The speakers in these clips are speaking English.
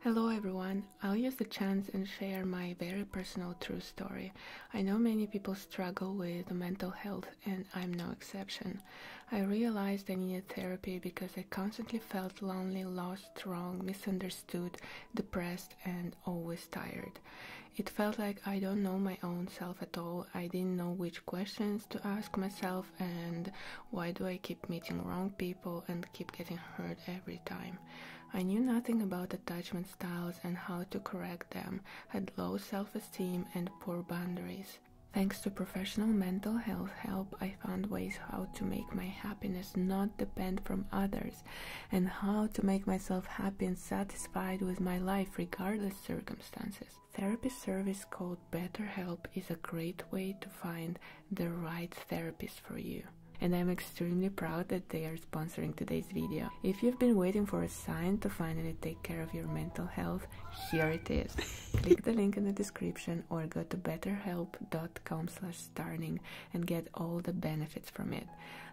Hello everyone, I'll use the chance and share my very personal true story. I know many people struggle with mental health and I'm no exception. I realized I needed therapy because I constantly felt lonely, lost, wrong, misunderstood, depressed and always tired. It felt like I don't know my own self at all. I didn't know which questions to ask myself and why do I keep meeting wrong people and keep getting hurt every time. I knew nothing about attachment styles and how to correct them, had low self esteem and poor boundaries. Thanks to professional mental health help, I found ways how to make my happiness not depend from others and how to make myself happy and satisfied with my life regardless circumstances. Therapy service called BetterHelp is a great way to find the right therapist for you. And I'm extremely proud that they are sponsoring today's video. If you've been waiting for a sign to finally take care of your mental health, here it is. Click the link in the description or go to betterhelp.com slash starting and get all the benefits from it.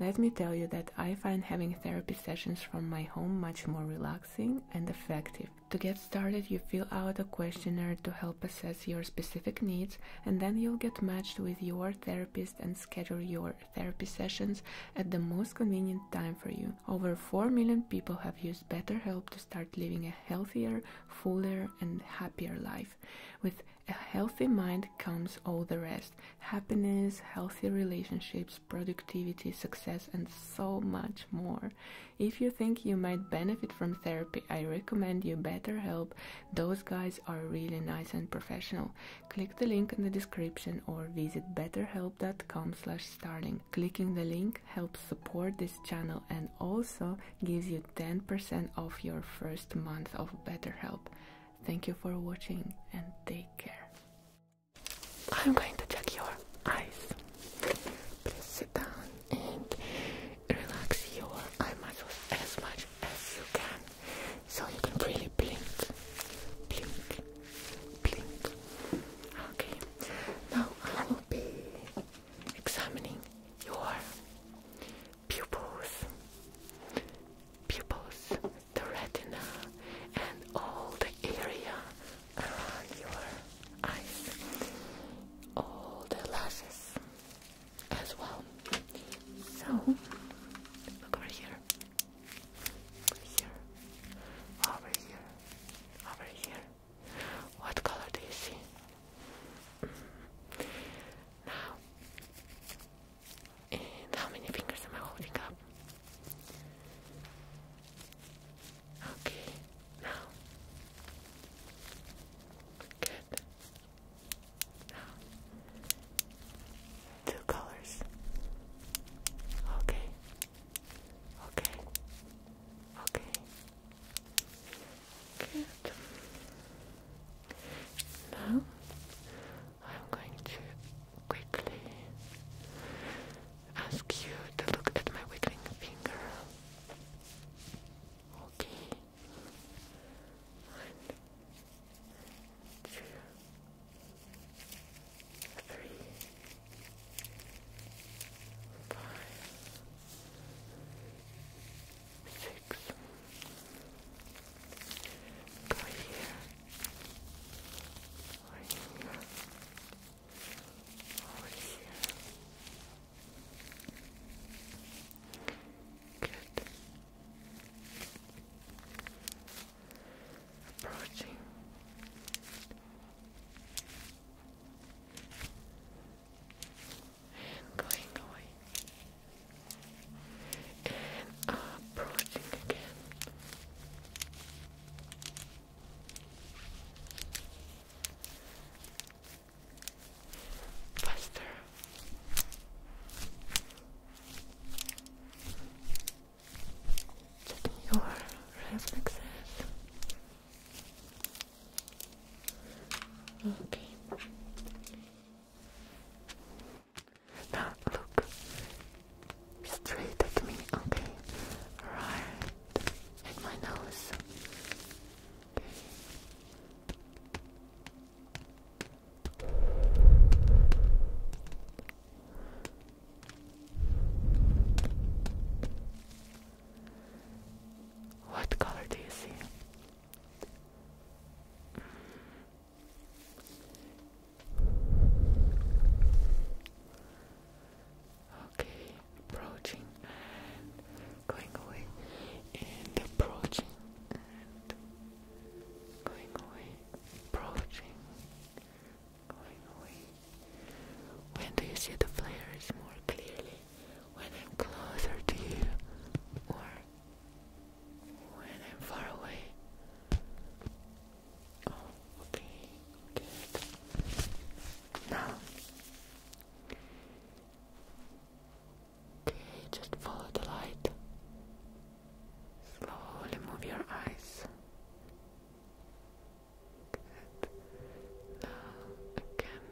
Let me tell you that I find having therapy sessions from my home much more relaxing and effective to get started, you fill out a questionnaire to help assess your specific needs, and then you'll get matched with your therapist and schedule your therapy sessions at the most convenient time for you. Over 4 million people have used BetterHelp to start living a healthier, fuller, and happier life. With a healthy mind comes all the rest happiness, healthy relationships, productivity, success, and so much more. If you think you might benefit from therapy, I recommend you BetterHelp. Those guys are really nice and professional. Click the link in the description or visit betterhelpcom starting Clicking the link helps support this channel and also gives you 10% off your first month of BetterHelp. Thank you for watching and take care. I'm going to check your eyes down and relax your eye muscles as much as you can. So you can really blink, blink, blink. Okay, now I will be examining your pupils, pupils, the retina, and all the area around your eyes, all the lashes as well. So look over here, here, over here, over here. What color do you see? Now, how many fingers am I holding up? Okay, now. Good. Now. Two colors. Okay. Okay. Okay. Good. Now I'm going to quickly ask you to look at my wiggling finger. Okay. One, two, three, five, six. Good. Approaching. And going away. And approaching again. Faster. Checking your reflexes. Okay. Now look straight at me. Okay. Right at my nose. What color do you see? okay, approaching and going away, and approaching and going away, approaching, going away. When do you see the flares more clearly? When I'm closer to you, or when I'm far away? Oh, okay, good. Now, okay, just follow the light. Slowly move your eyes. Good. Now, again.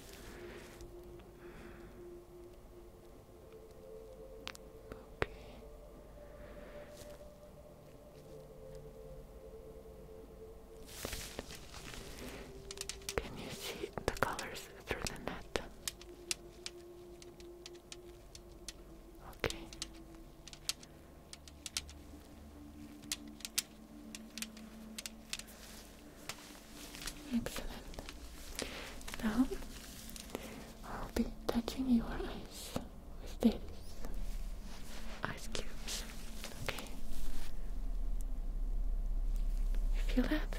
Mm. Okay. Can you see the colors through the net? Okay. Excellent. Now I'll be touching your eyes this ice cubes. Okay, you feel that?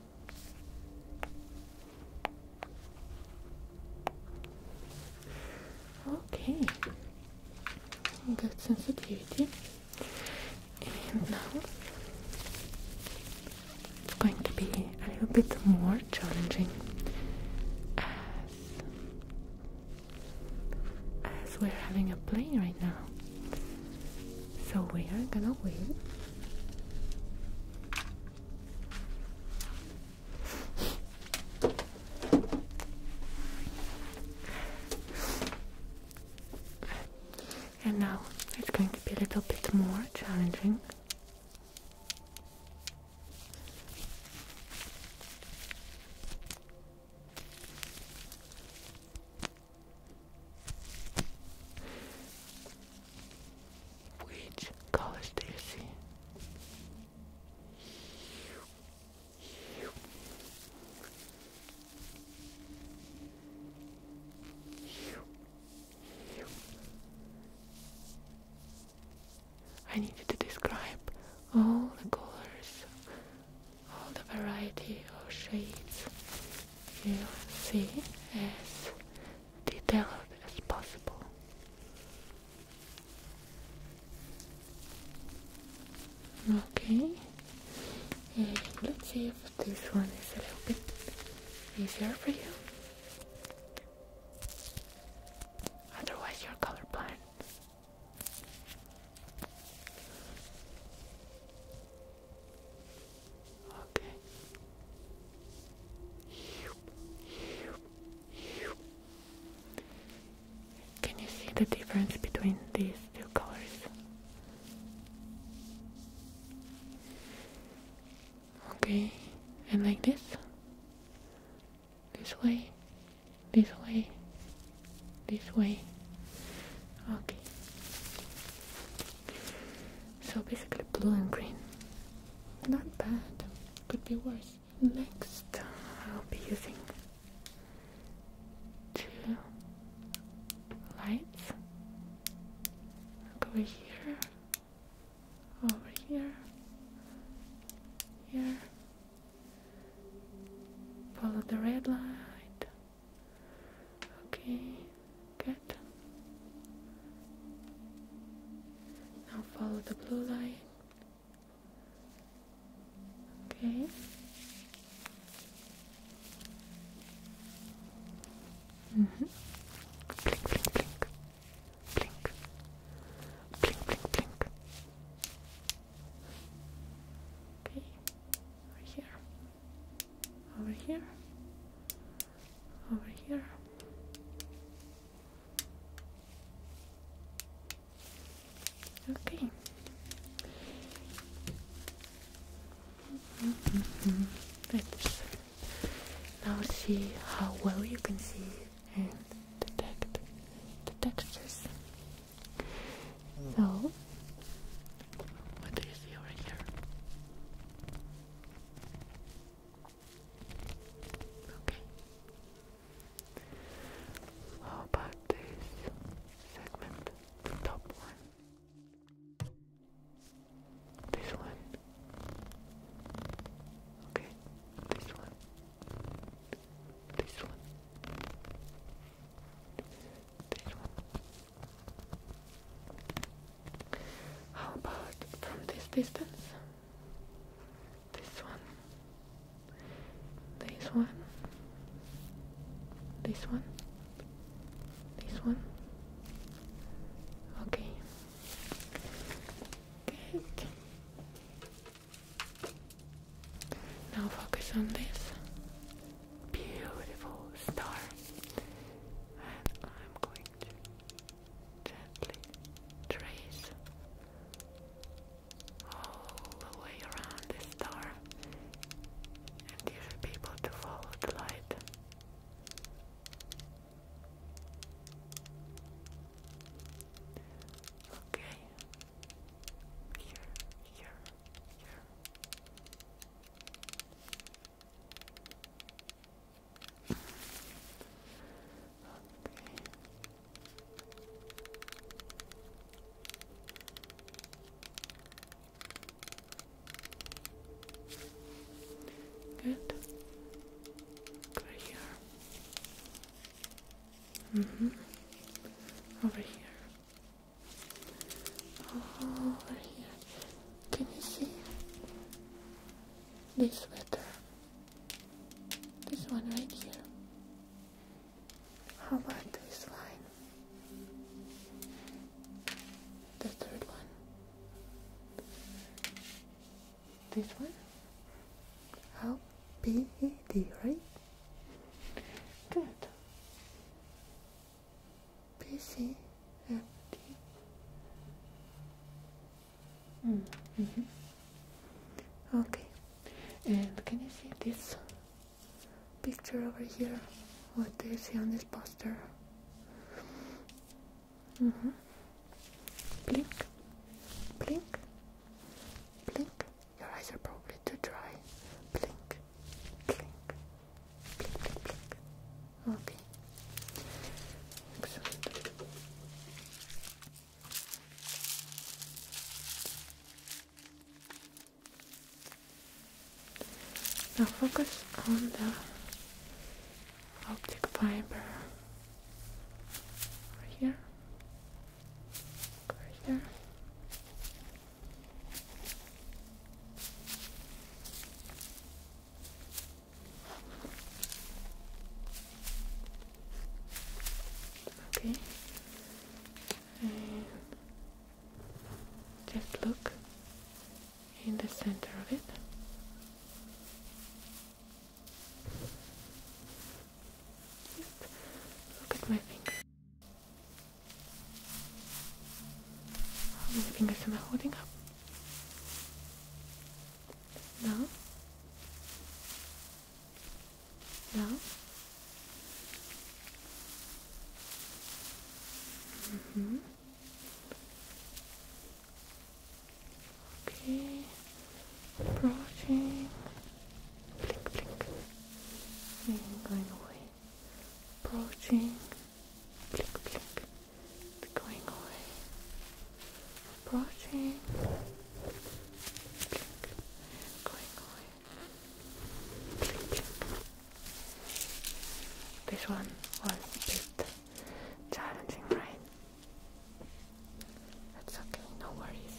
Okay, good sensitivity. And now it's going to be a little bit more challenging as, we're having a plane right now. So we are gonna wait and now it's going to be a little bit more challenging. Which colors do you see? I need you to describe all the colors all the variety of shades you see as detailed as possible. Okay, and let's see if this one is a little bit easier for you. Otherwise, you're colorblind. Okay. Can you see the difference between these two colors? Okay, and like this? This way? This way? this way okay so basically blue and green not bad could be worse next I'll be using two lights over here over here here follow the red light Okay, good. Now follow the blue line. Okay. Mm-hmm. Blink, blink, blink. Blink. Blink, blink, blink. Okay. Right here over here, over here. Okay. now see how well you can see and detect the textures. So, what do you see over here? Okay. How about this segment, the top one? This one? Okay, this one. This one. This one. How about from this distance? This one. This one. This one. This one. Okay. Good. Now focus on this beautiful star, and I'm going to gently trace all the way around the star, and you should be able to follow the light. Okay. Here, here, here. Good. Over here. Mm-hmm. Over here over here. Can you see this letter? This one right here. How about this line? The third one. This one? How? P E D, right? Good. Busy, empty. Mm Okay. And can you see this picture over here? What do you see on this poster? Mm-hmm. Blink, blink, blink. Your eyes are probably too dry. Blink, blink, blink, blink, blink. Okay. Excellent. Now focus on the optic fiber here over here. Okay. just look in the center of it. look at my finger. How many fingers am I holding up? No? No? hmm Okay approaching, blink, blink, and going away, approaching, blink, blink, and going away, approaching, blink, going away, blink. This one was a bit challenging, right? That's okay, no worries.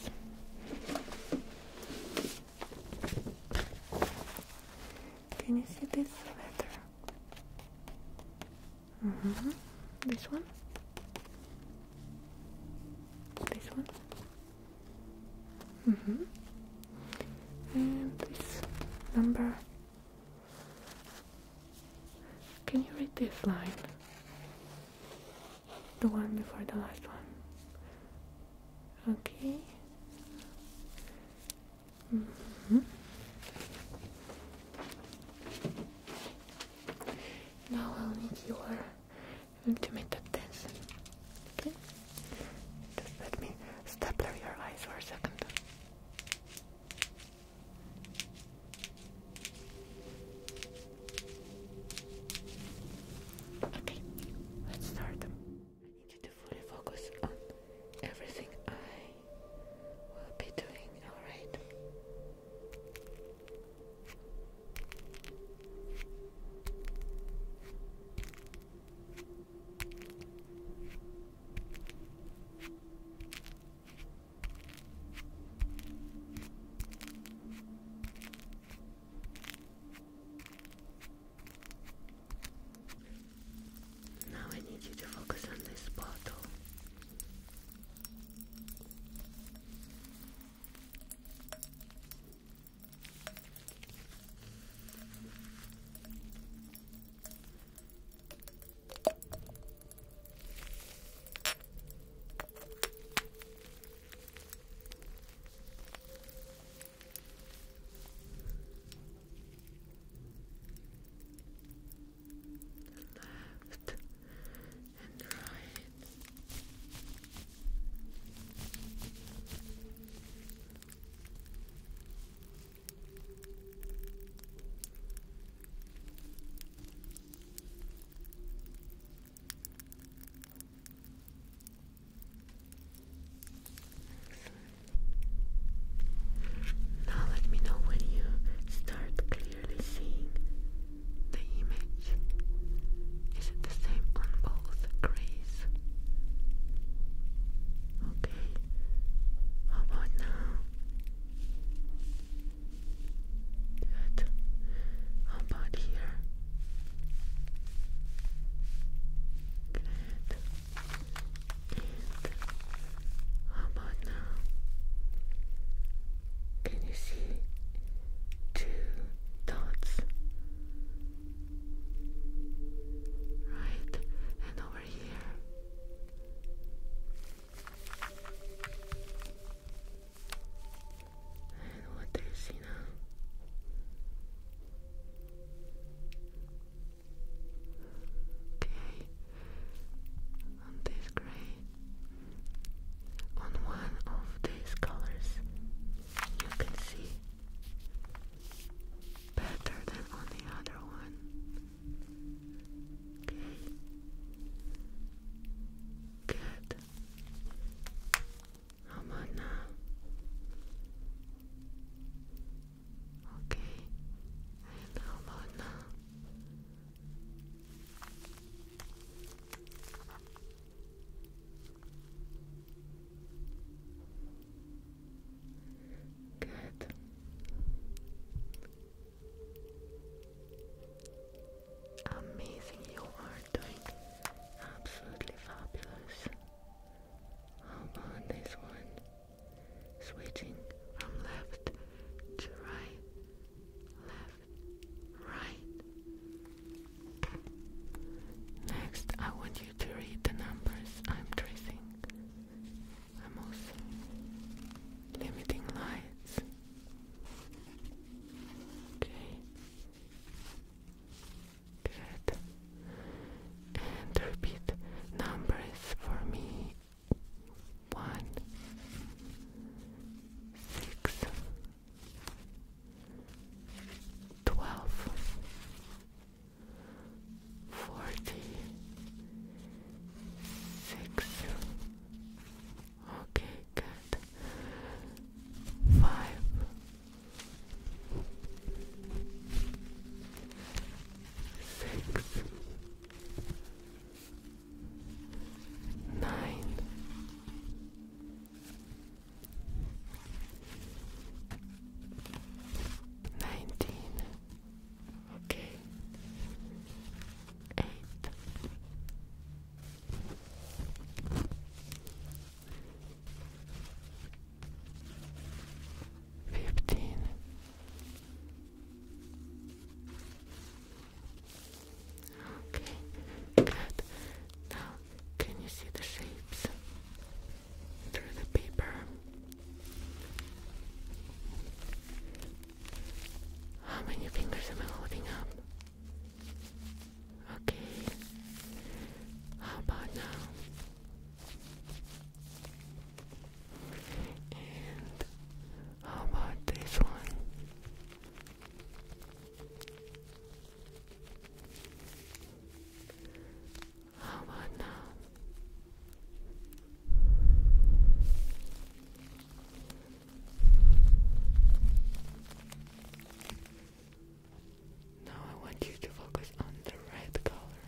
Can you see this letter? Mm-hmm. This one? This one? Mm-hmm. And this number. Can you read this line? the one before the last one. Okay. Mm-hmm. Now I'll need your intimate attention. Okay? Just let me stapler your eyes for a second. Okay, let's start. I need you to fully focus on everything I will be doing, alright? Now I need you to focus on this bottle. Left and right. Good. Now let me know when you start clearly seeing the image. Is it the same on both grays? Okay. How about now? Good. How about here? Good. And how about now? Can you see two dots? Right, and over here. And what do you see now? Okay, on this gray, on one of these colors, you can see better than on the other one. Okay. Good. How about now? Okay. And how about now? Good. Amazing, you are doing absolutely fabulous. How about this one? Switching from left to right, left, right. Next, I want you to read the numbers I'm tracing. I'm also limiting lights. Okay. Good. And repeat numbers for me. One, six, twelve, forty, six, Okay, good. Five. Six. Nine. Nineteen. Okay. Eight. Fifteen. Okay, Now, can you see the shapes through the paper? How um, many fingers am I holding up? Okay. How about now? And how about this one? How about now? Now I want you to focus on the red color.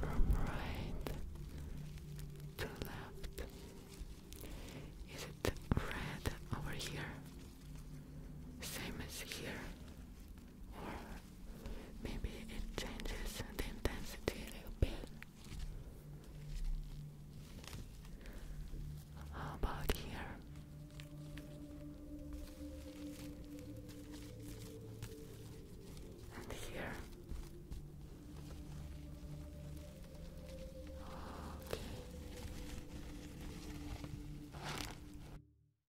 From right to left. Is it red over here? Same as here or maybe it changes the intensity a little bit. How about here? And here. Okay.